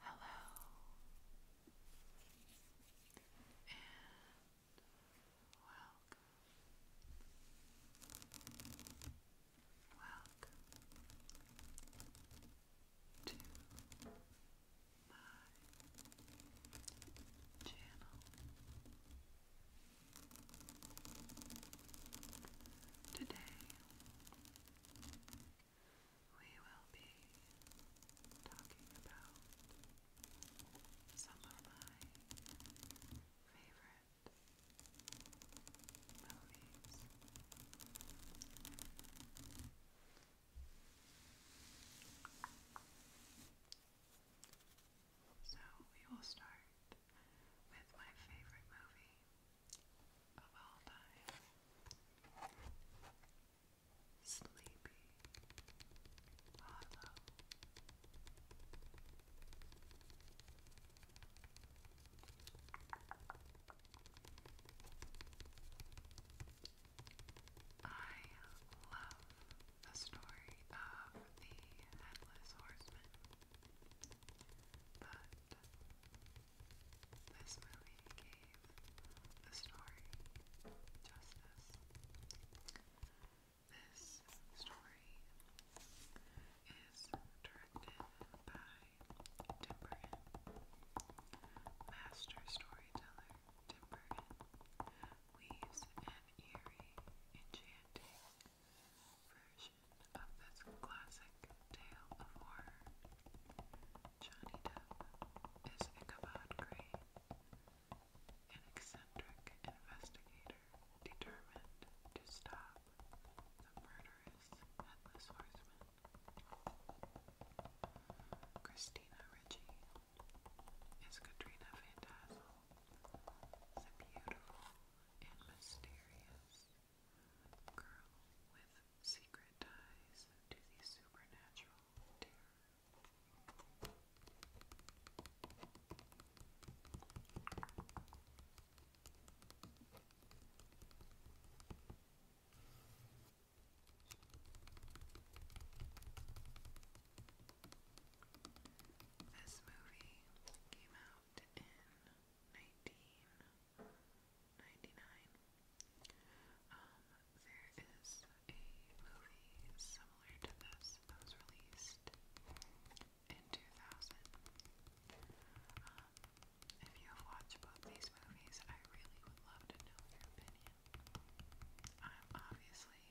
Hello, and welcome, welcome to my channel. Today, we will be talking about some of my favorite movies. So we will start with my favorite movie of all time. Sleepy Hollow. I love the story of the Headless Horseman, but this movie gave the story justice. This story is directed by Tim Burton, master storyteller Tim Burton weaves an eerie, enchanting version of this classic Tale of Horror. Johnny Depp is Ichabod Crane, an eccentric investigator determined to stop the murderous Headless Horseman. Christina Ricci is Katrina Van the beautiful and mysterious girl with secret ties to the supernatural This movie came out in nineteen ninety-nine. Um, there is a movie similar to this that was released in two thousand. Um, if you have watched both these movies, I really would love to know your opinion. I'm obviously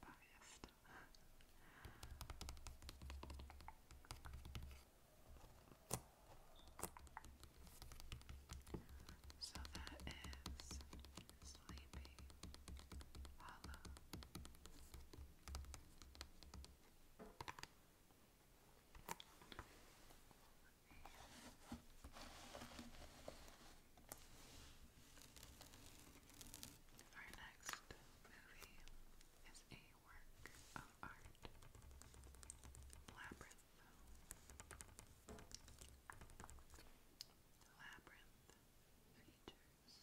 biased. So that is Sleepy Hollow. Our next movie is a work of art, Labyrinth. Labyrinth features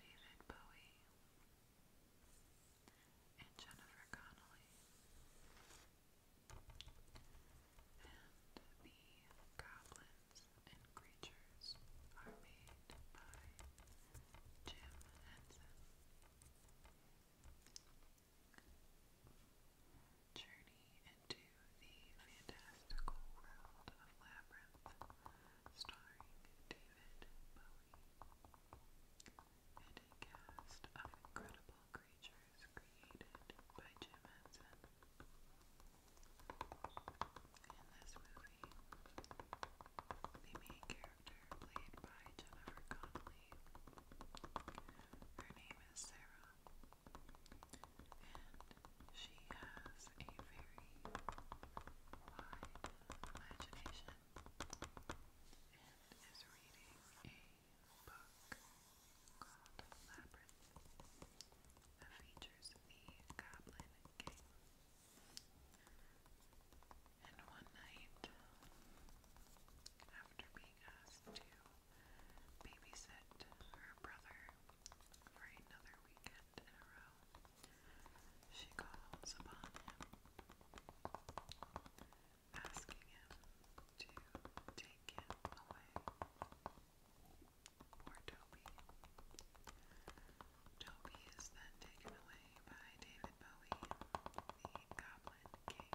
David Bowie and Jennifer Connelly. And the goblins and creatures are made by Jim Henson. Journey into the fantastical world of Labyrinth, starring David Bowie, and a cast of incredible creatures created by Jim Henson. In this movie, the main character, played by Jennifer Connelly, her name is Sarah, and she has a very wide imagination and is reading a book called Labyrinth that features the Goblin King. And one night, after being asked to babysit her brother for another weekend in a row, she calls upon him, asking him to take him away. Poor Toby. Toby is then taken away by David Bowie, The Goblin King,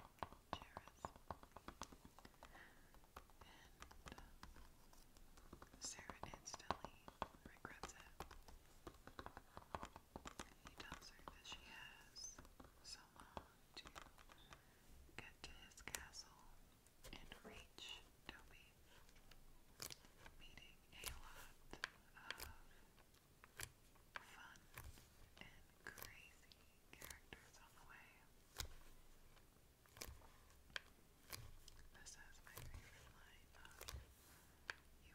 and Sarah instantly regrets it. He tells her that she has so long to get to his castle and reach Toby, meeting a lot of fun and crazy characters on the way. This is my favorite line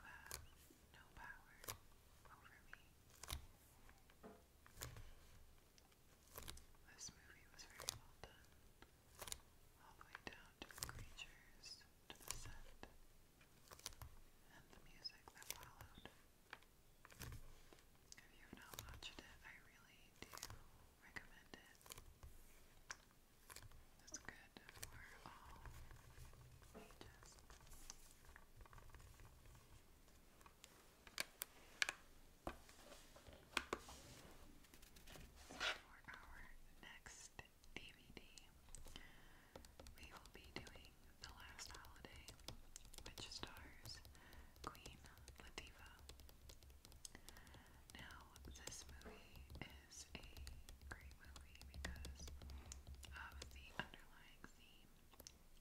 You have no power over me. This movie was very well done, all the way down to the creatures, to the set, and If you have not watched it, I really do recommend it. It's good for all ages. for our next DVD, we will be doing The Last Holiday, which stars Queen Latifah. Now, this movie is a great movie because of the underlying theme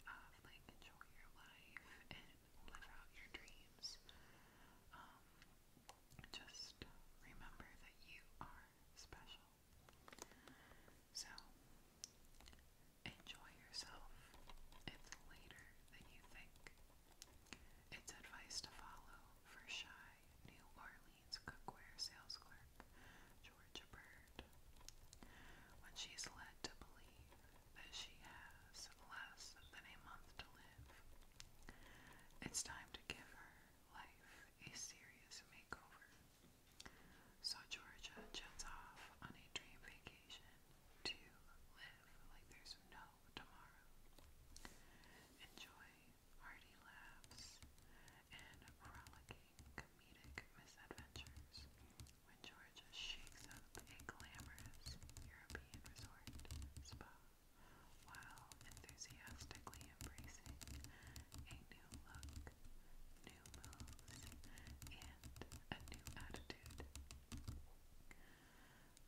of like enjoy your life and live out your dreams. Um, just remember that you are special so, enjoy yourself. It's later than you think. It's advice to follow for shy New Orleans cookware sales clerk Georgia Bird when she's led to believe that she has less than a month to live. It's time to give her life a serious makeover. So Georgia jets off on a dream vacation to live like there's no tomorrow. Enjoy hearty laughs and rollicking comedic misadventures when Georgia shakes up a glamorous European resort spa while enthusiastically embracing new look, new moves, and a new attitude.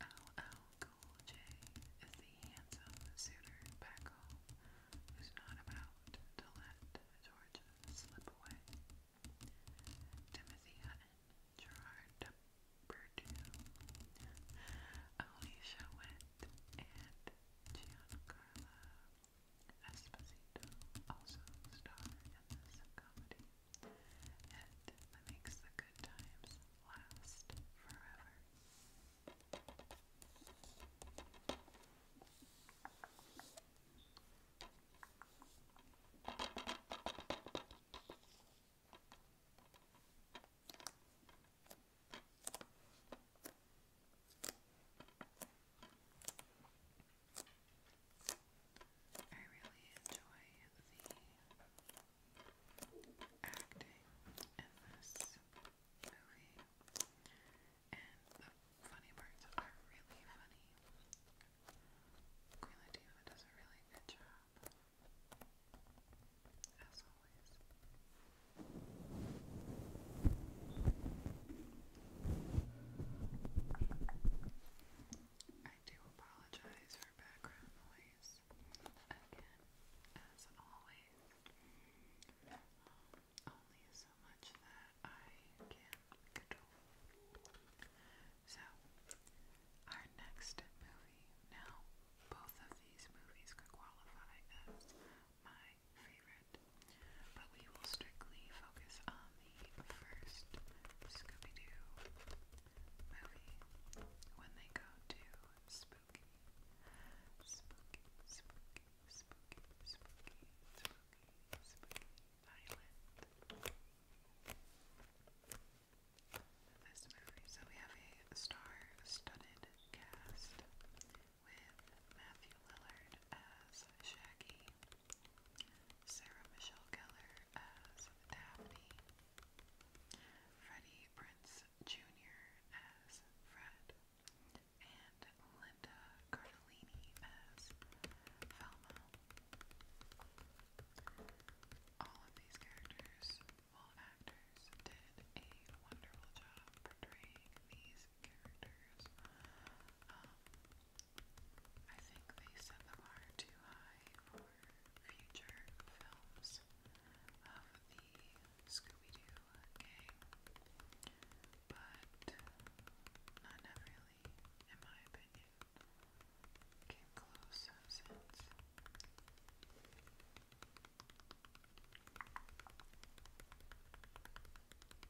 LL Cool J is the handsome suitor back home who's not about to let George slip away. Timothy Hutton, Gerard Purdue, Alicia Witt, and Giancarlo Esposito, also star in this comedy, and uh, that makes the good times last forever. I really enjoy the acting in this movie, and the funny parts are really funny. Queen Latifah does a really good job, as always. I do apologize for background noise. Again, as always, um, only so much that I can control. So, our next movie. Now, both of these movies could qualify as my favorite. But we will strictly focus on the first Scooby Doo movie when they go to spooky. Spooky, spooky, spooky, spooky, spooky, spooky island. This movie. So we have a star studded cast with Matthew Lillard as Shaggy, Sarah Michelle Gellar as Daphne, Freddie Prince Jr. as Fred, and Linda Cardellini as Velma. All of these characters, well, actors, did a wonderful job portraying these characters. Um, I think they set the bar too high for future films of the Scooby-Doo gang, but none have in my opinion, close since.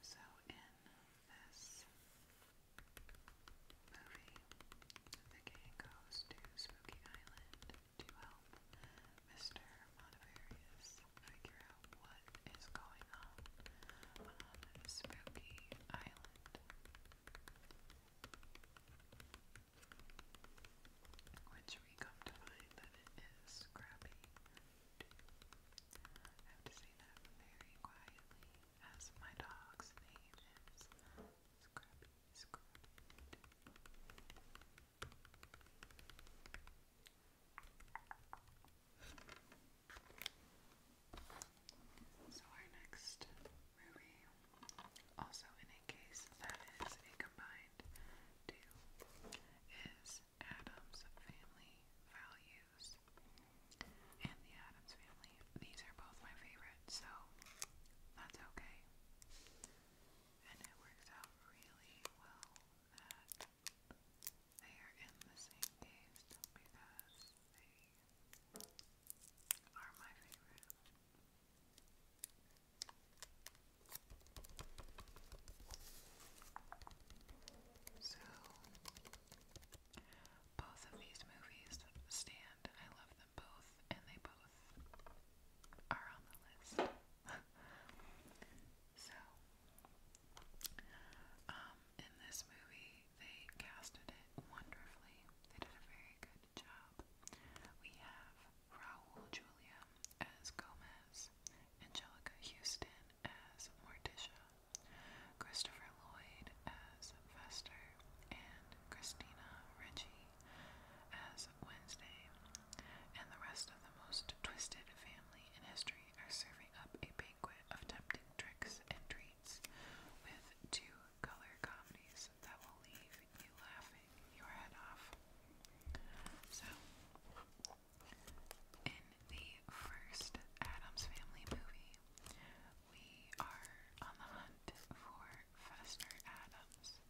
So, in this movie, the gang goes to Spooky Island to help Mr. Montevirus figure out what is going on on Spooky Island. Which we come to find that it is Scrappy I have to say that very quietly as my dog's name is Scrappy So our next movie, also in a case that is a combined two, is Adam's Family Values. Matthews and the Adams Family. These are both my favorites, so that's okay. And it works out really well that they are in the same taste because they are my favorite. So, both of these movies stand. I love them both, and they both are on the list. so, um, in this movie, they casted it wonderfully. They did a very good job. We have Raul Julia as Gomez, Angelica Houston as Morticia, Christopher Lloyd as Fester, and Christina Ricci as Wednesday, and the rest of the most twisted family in history are serving up a banquet of tempting tricks and treats with two color comedies that will leave you laughing your head off. So, in the first Adams Family movie, we are on the hunt for Fester Adams.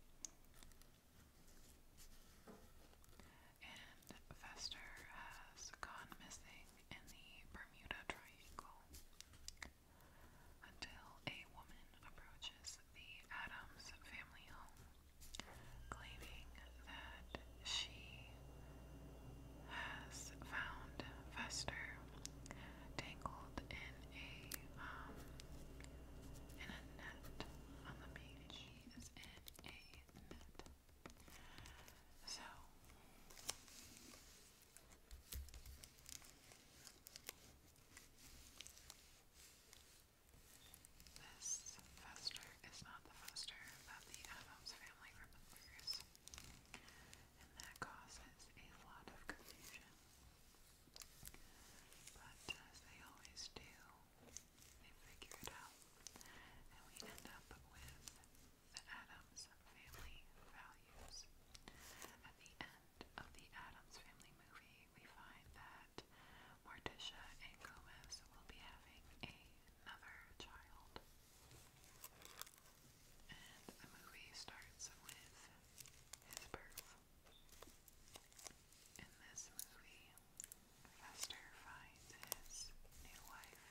And Fester has gone missing in the Bermuda Triangle until a woman approaches the Adams family home, claiming that she has found Fester tangled in a um, in a net on the beach. She is in a net. So this Fester is not the Fester that the Adams family remembers and that causes a lot of confusion. But uh, as they always do, they figure it out, and we end up with the Adams family values. At the end of the Adams family movie, we find that Morticia and Gomez will be having another child. And the movie starts with his birth. In this movie, Fester finds his new wife,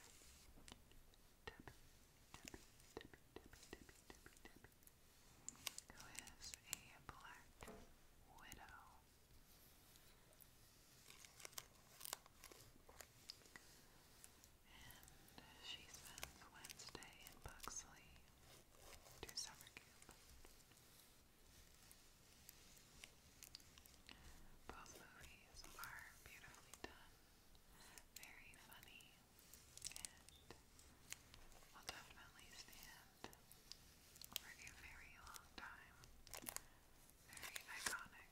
Debbie, who is a black widow. And she spends Wednesday in Buxley to summer Both movies are beautifully done, very funny, and will definitely stand for a very long time. Very iconic.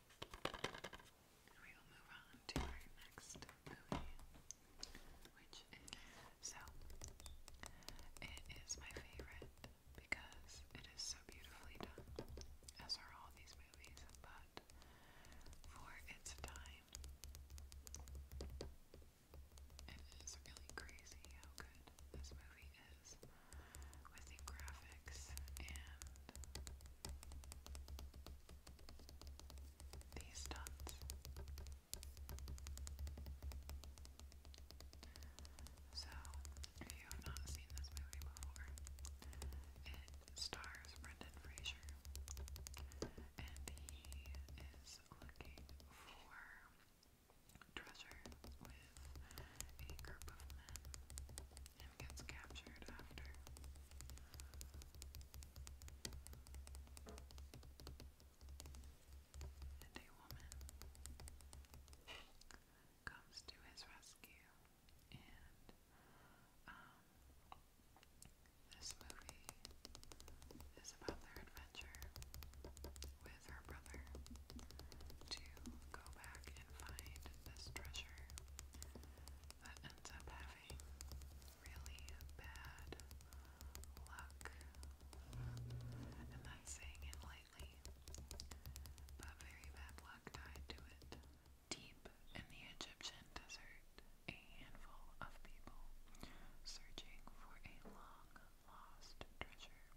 And we will move on to our next movie, which is so. It is my favorite because it is so beautifully done, as are all these movies, but for its time, it is really crazy how good this movie is with the graphics and these dots. So, if you have not seen this movie before, it stars Brendan Fraser, and he is looking for treasure with a group of men and gets captured after and a woman comes to his rescue, and um, this movie is about their adventure with her brother to go back and find this treasure that ends up having really bad luck. And that's saying it lightly, but very bad luck tied to it. Deep in the Egyptian desert, a handful of people searching for a long lost treasure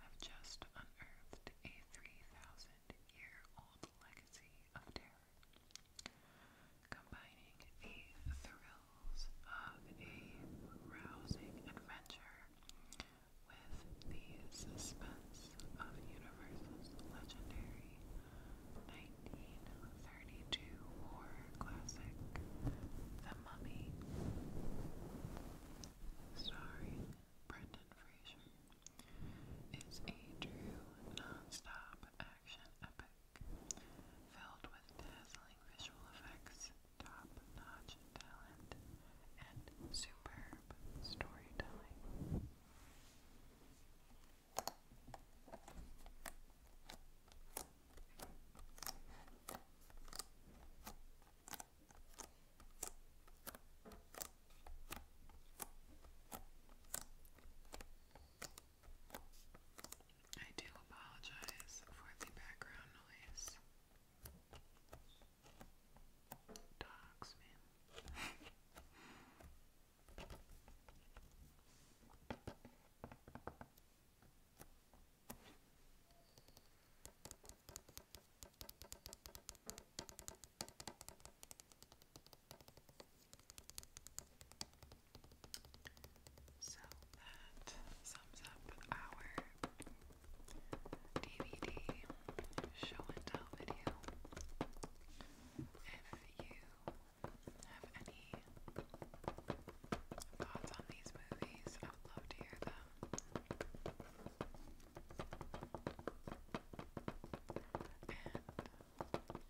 have just unearthed a 3,000 year old legacy of terror combining the thrills of a rousing adventure with the suspense of Universal's legendary 1932 horror classic, The Mummy, starring Brendan Fraser. It's a true non-stop action epic filled with dazzling visual effects, top-notch talent, and superb storytelling. I do apologize for the background noise. Dogs, man. So that sums up our DVD show and tell video. If you have any thoughts on these movies, I would love to hear them. I hope that this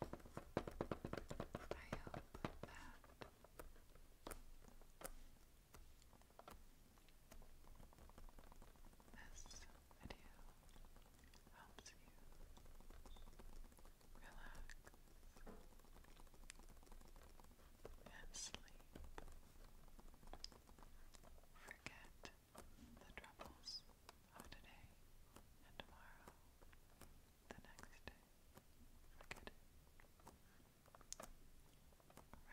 video helps you relax and sleep. Forget the troubles of today and tomorrow, the next day. Forget it.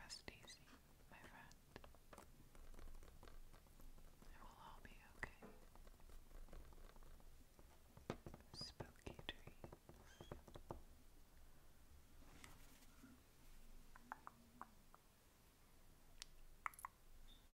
Rest easy, my friend. It will all be okay. Spooky dreams.